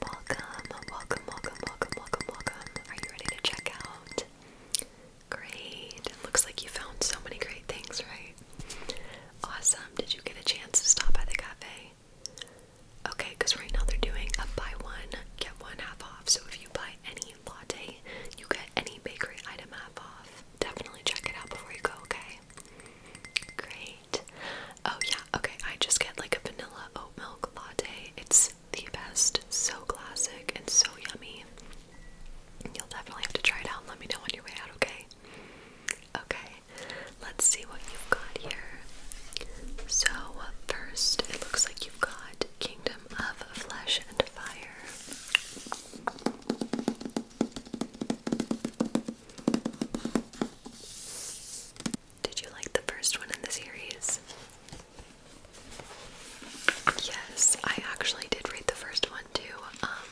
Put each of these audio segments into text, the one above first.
Welcome, welcome, welcome, welcome, welcome, welcome. Are you ready to check out? Great. looks like you found so many great things, right? Awesome. Did you get a chance to stop by the cafe? Okay, because right now they're doing a buy one, get one half off. So if you buy any latte, you get any bakery item half off. Definitely check it out before you go, okay? Great. Oh yeah, okay, I just get like a vanilla oat milk latte. It's the best, so classic and so yummy. You'll definitely have to try it out and let me know on your way out, okay? Okay, let's see what you've got here. So, first, it looks like you've got Kingdom of Flesh and Fire. Did you like the first one in the series? Yes, I actually did read the first one too. Um,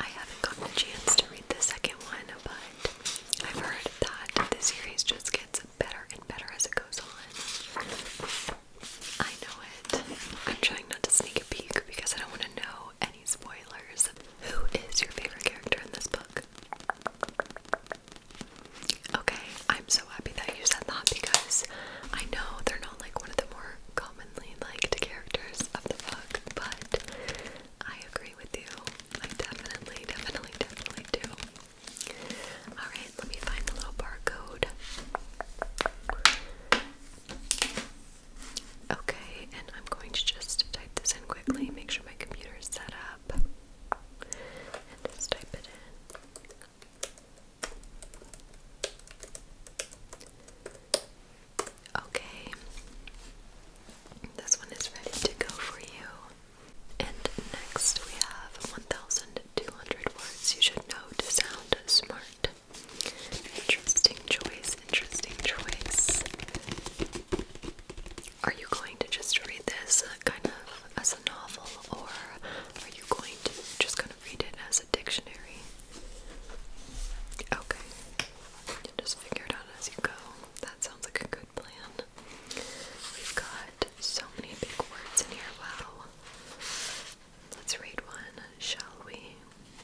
I haven't gotten a chance to read the second one, but I've heard that the series just gets better and better as it goes on. I know it. I'm trying not to sneak a peek because I don't want to know spoilers, who is your favorite character in this book? Okay, I'm so happy that you said that because I know they're not like one of the more commonly liked characters of the book, but I agree with you. I definitely, definitely, definitely do. Alright, let me find the little barcode. Okay, and I'm going to just type this in quickly, make sure my computer is set up, and just type it in. Okay, this one is ready to go for you. And next we have 1,200 words you should know to sound smart. Interesting choice, interesting choice. Are you going to just read this kind of as a novel, or are you going to just kind of read it as a dictionary? Okay. You just figure it out as you go. That sounds like a good plan. We've got so many big words in here. Wow. Let's read one, shall we?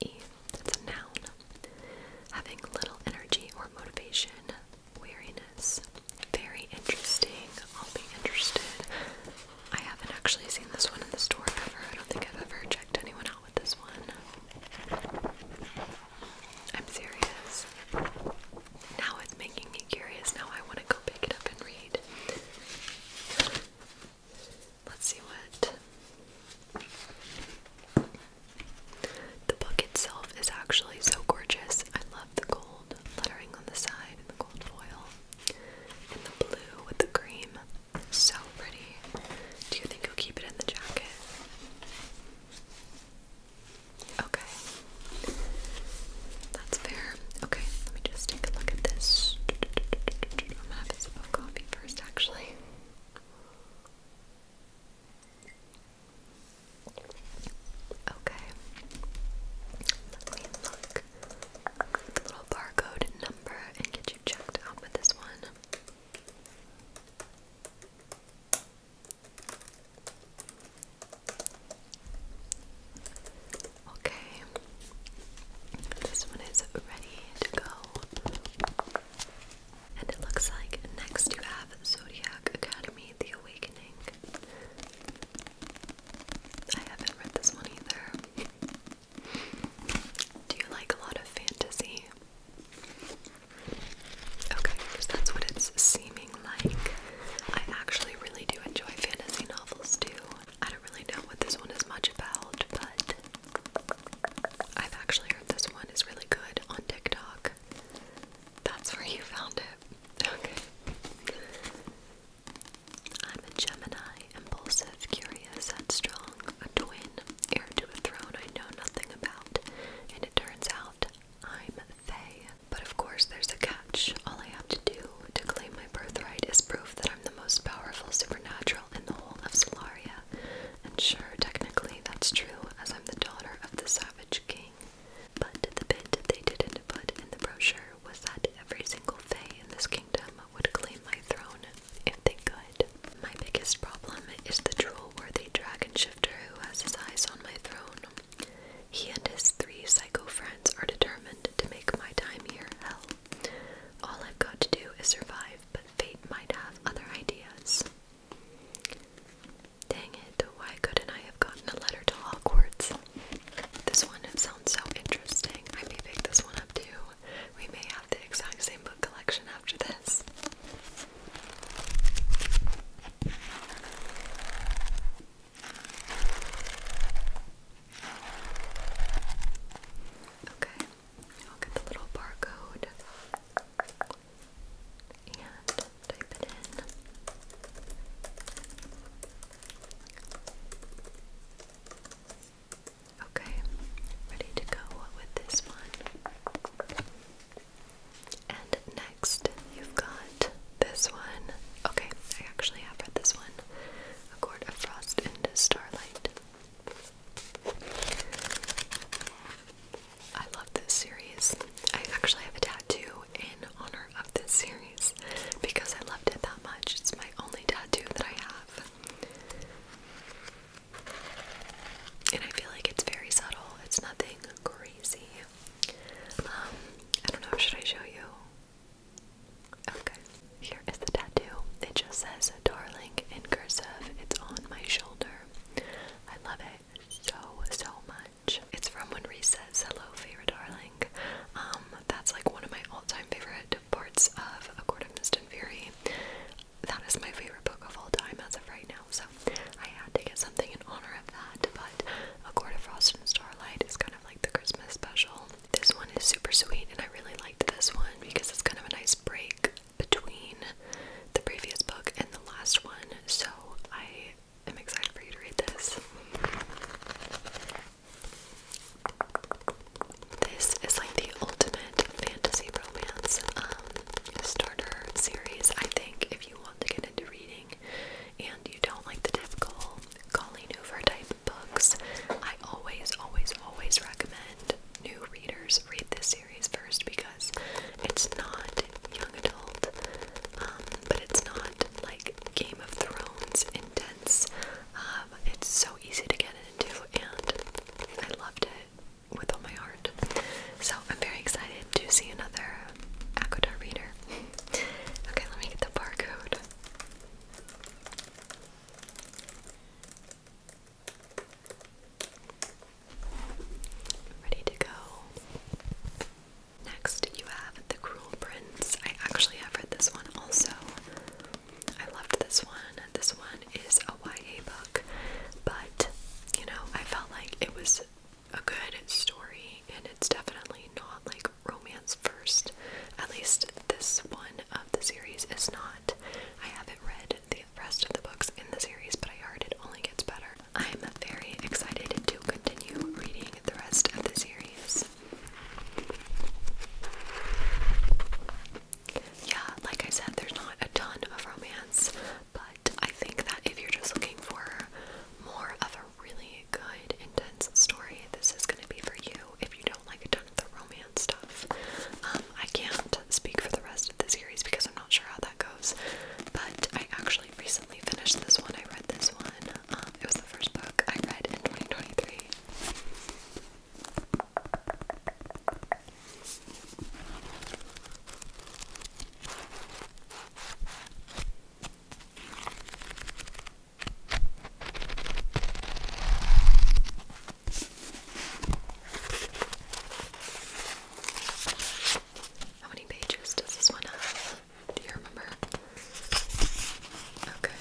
E. It's a noun. Having little energy or motivation, weariness. Very interesting. I'll be interested. I haven't actually seen this one in the store ever. I don't think I've ever checked anyone out with this one. I'm serious. Now it's making me curious. Now I want to go pick it up and read. Let's see what the book itself is actually so gorgeous. I love the gold lettering on the side and the gold foil. And the blue with the cream. So pretty. Do you think you'll keep it in the jacket? Okay. That's fair. Okay, let me just take a look at this. I'm gonna have a sip of coffee first, actually. Okay. Let me look the little barcode number and get you checked out with this one. Okay. This one is ready to go. And it looks like next you have Zodiac Academy The Awakening. I haven't read this one either. Do you like a lot of fantasy? Okay, that's what it's seeming like. I actually really do enjoy fantasy novels too. I don't really know what this one is much about, but I've actually heard this one is really good on TikTok. That's where you found it. Okay. I'm a Gemini, impulsive, curious, strong. a twin, heir to a throne I know nothing about, and it turns out I'm Faye. But of course, there's a catch. All I have to do to claim my birthright is proof that I'm the most powerful supernatural in the whole of Solaria and sure, technically that's true as I'm the daughter of the savage king. But the bit they didn't put in the brochure was that every single fae in this kingdom would claim my throne if they could. My biggest problem is the drool-worthy dragon shifter who has his eyes on my throne. He and his three psycho friends are determined to make my time here hell. All I've got to do is survive, but fate might have other ideas. Dang it, why couldn't I have gotten a letter to Hogwarts? This one sounds so interesting. I may pick this one up too. We may have the exact same book collection after this. Okay. Look at the little barcode and type it in. Okay, ready to go with this one. And next, you've got this one. Okay, I actually have read this one. A Court of Frost and Starlight. I love this series. I actually have a tattoo in honor of this series because I loved it that much. It's my only tattoo that I have. And I feel like it's very subtle. It's nothing crazy. Um, I don't know, should I show you? Okay. Here is the tattoo. It just says darling in cursive. It's on my shoulder. I love it so, so much. It's from When Reese says, hello, favorite darling. Um, that's like one of my all-time favorite parts of A Court of Mist and Fury. That is my favorite book of all time as of right now, so I had to get something in honor of that, but A Court of Frost and Starlight is kind of like the Christmas special. This one is super sweet, and I really liked this one because it's kind of a nice break between the previous book and the last one, so I am excited for you to read this. This is like the ultimate fantasy romance um, starter series, I think, if you want to get into reading and you don't like the typical Colleen Hoover type books. I always, always, always recommend new readers read this series first because it's not young adult, um, but it's not like Game of Thrones intense. Um, it's so easy to get into, and I loved it with all my heart. So I'm very excited to see another Aquadar reader. okay, let me get the barcode. Ready to go. Next, you have The Cruel Prince. I actually have read this one also. I loved this one. This one is a YA book, but you know, I felt like it was a good story and it's definitely not like romance first. At least this one of the series is not. I haven't read the rest of the books in the series, but I heard it only gets better. I'm very excited to continue reading the rest of the series. Yeah, like I said, there's not a ton of romance, but I think that if you're just looking for more of a really good, intense story, this is going to be for you. If you don't like a ton of the stuff. Um, I can't speak for the rest of the series because I'm not sure how that goes, but I actually recently finished this one. I read this one. Um, it was the first book I read in 2023. How many pages does this one have? Do you remember? Okay.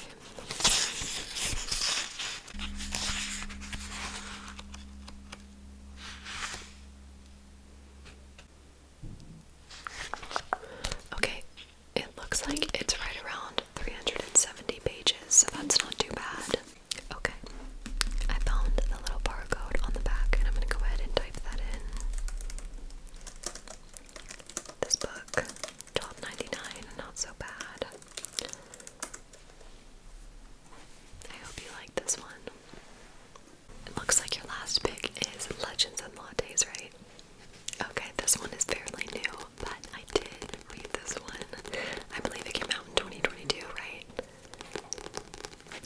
Okay, it looks like it's right around 370 pages, so that's not too bad. Okay, I found the little barcode on the back, and I'm gonna go ahead and type that in. This book, 12 not so bad. I hope you like this one. It looks like your last pick is Legends and Lattes, right? Okay, this one is fairly new, but I did read this one. I believe it came out in 2022, right?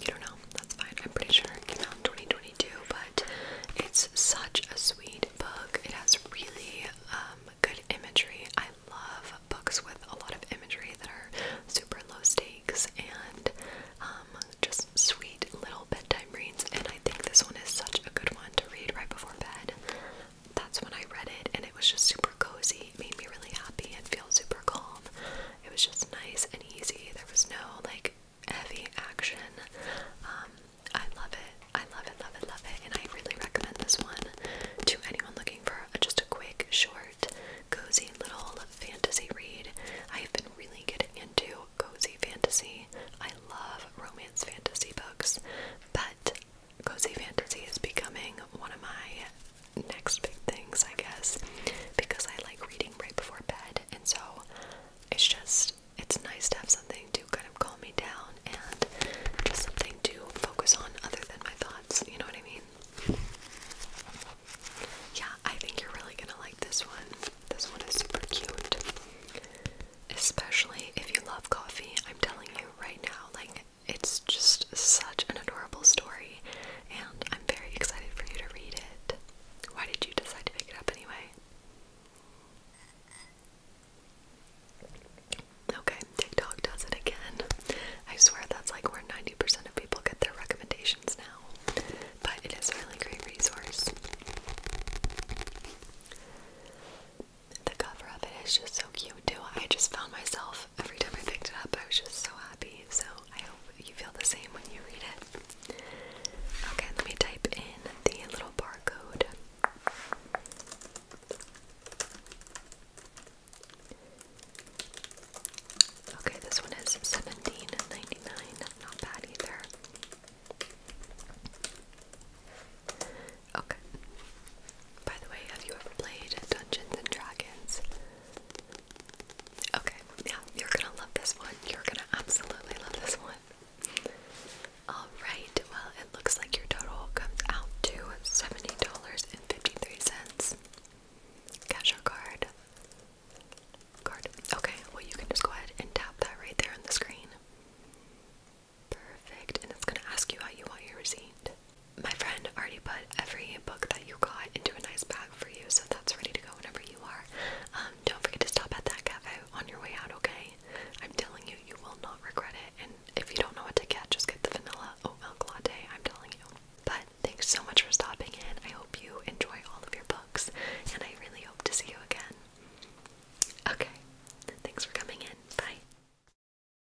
You don't know. That's fine. I'm pretty sure it came out in 2022, but it's such a sweet book. It has really um, good imagery. I love books with a lot of imagery that are super low stakes and um, just sweet little bedtime reads. And I think this one is such a good one to read right before bed that's when I read it, and it was just super cozy. made me really happy and feel super calm. It was just nice and easy. There was no like heavy action. Um, I love it. I love it, love it, love it. And I really recommend this one to anyone looking for just a quick, short, cozy little fantasy read. I've been really getting into cozy fantasy. I love romance fantasy books, but cozy fantasy is becoming one of my next big things, I guess, because I like reading right before bed, and so it's just it's nice to have something to kind of calm me down and just something to focus on other than my thoughts. You know what I mean? Yeah, I think you're really gonna like this one. This one is super cute, especially if you love coffee. I'm telling you right now, like it's just such an adorable story, and I'm very excited for you to read it. Why did you decide to pick it up anyway? Okay, TikTok does it again. I swear that's like where 90% of people get their recommendations now. But it is a really great resource. The cover of it is just so cute too. I just found myself every time I picked it up. I was just so happy. So I hope you feel the same when you read it. Okay, let me type in the little barcode. Okay, this one is seventeen ninety nine. Not bad either. Okay. By the way, have you ever played Dungeons and Dragons? Okay, yeah, you're gonna love this one. You're gonna absolutely love this one. Alright, well, it looks like your total comes out to $70.53. Cash or card? Card. Okay, well, you can just go ahead and tap that right there on the screen. Perfect, and it's gonna ask you how you want your receipt. My friend already put every book that you got into a nice bag for you, so that's ready to go whenever you are. Um, don't forget to stop at that cafe on your way out, okay? I'm telling you, you will not regret it. And if you don't know what to get, just get the vanilla oat milk latte, I'm telling you. But thanks so much for stopping in. I hope you enjoy all of your books, and I really hope to see you again. Okay, thanks for coming in. Bye.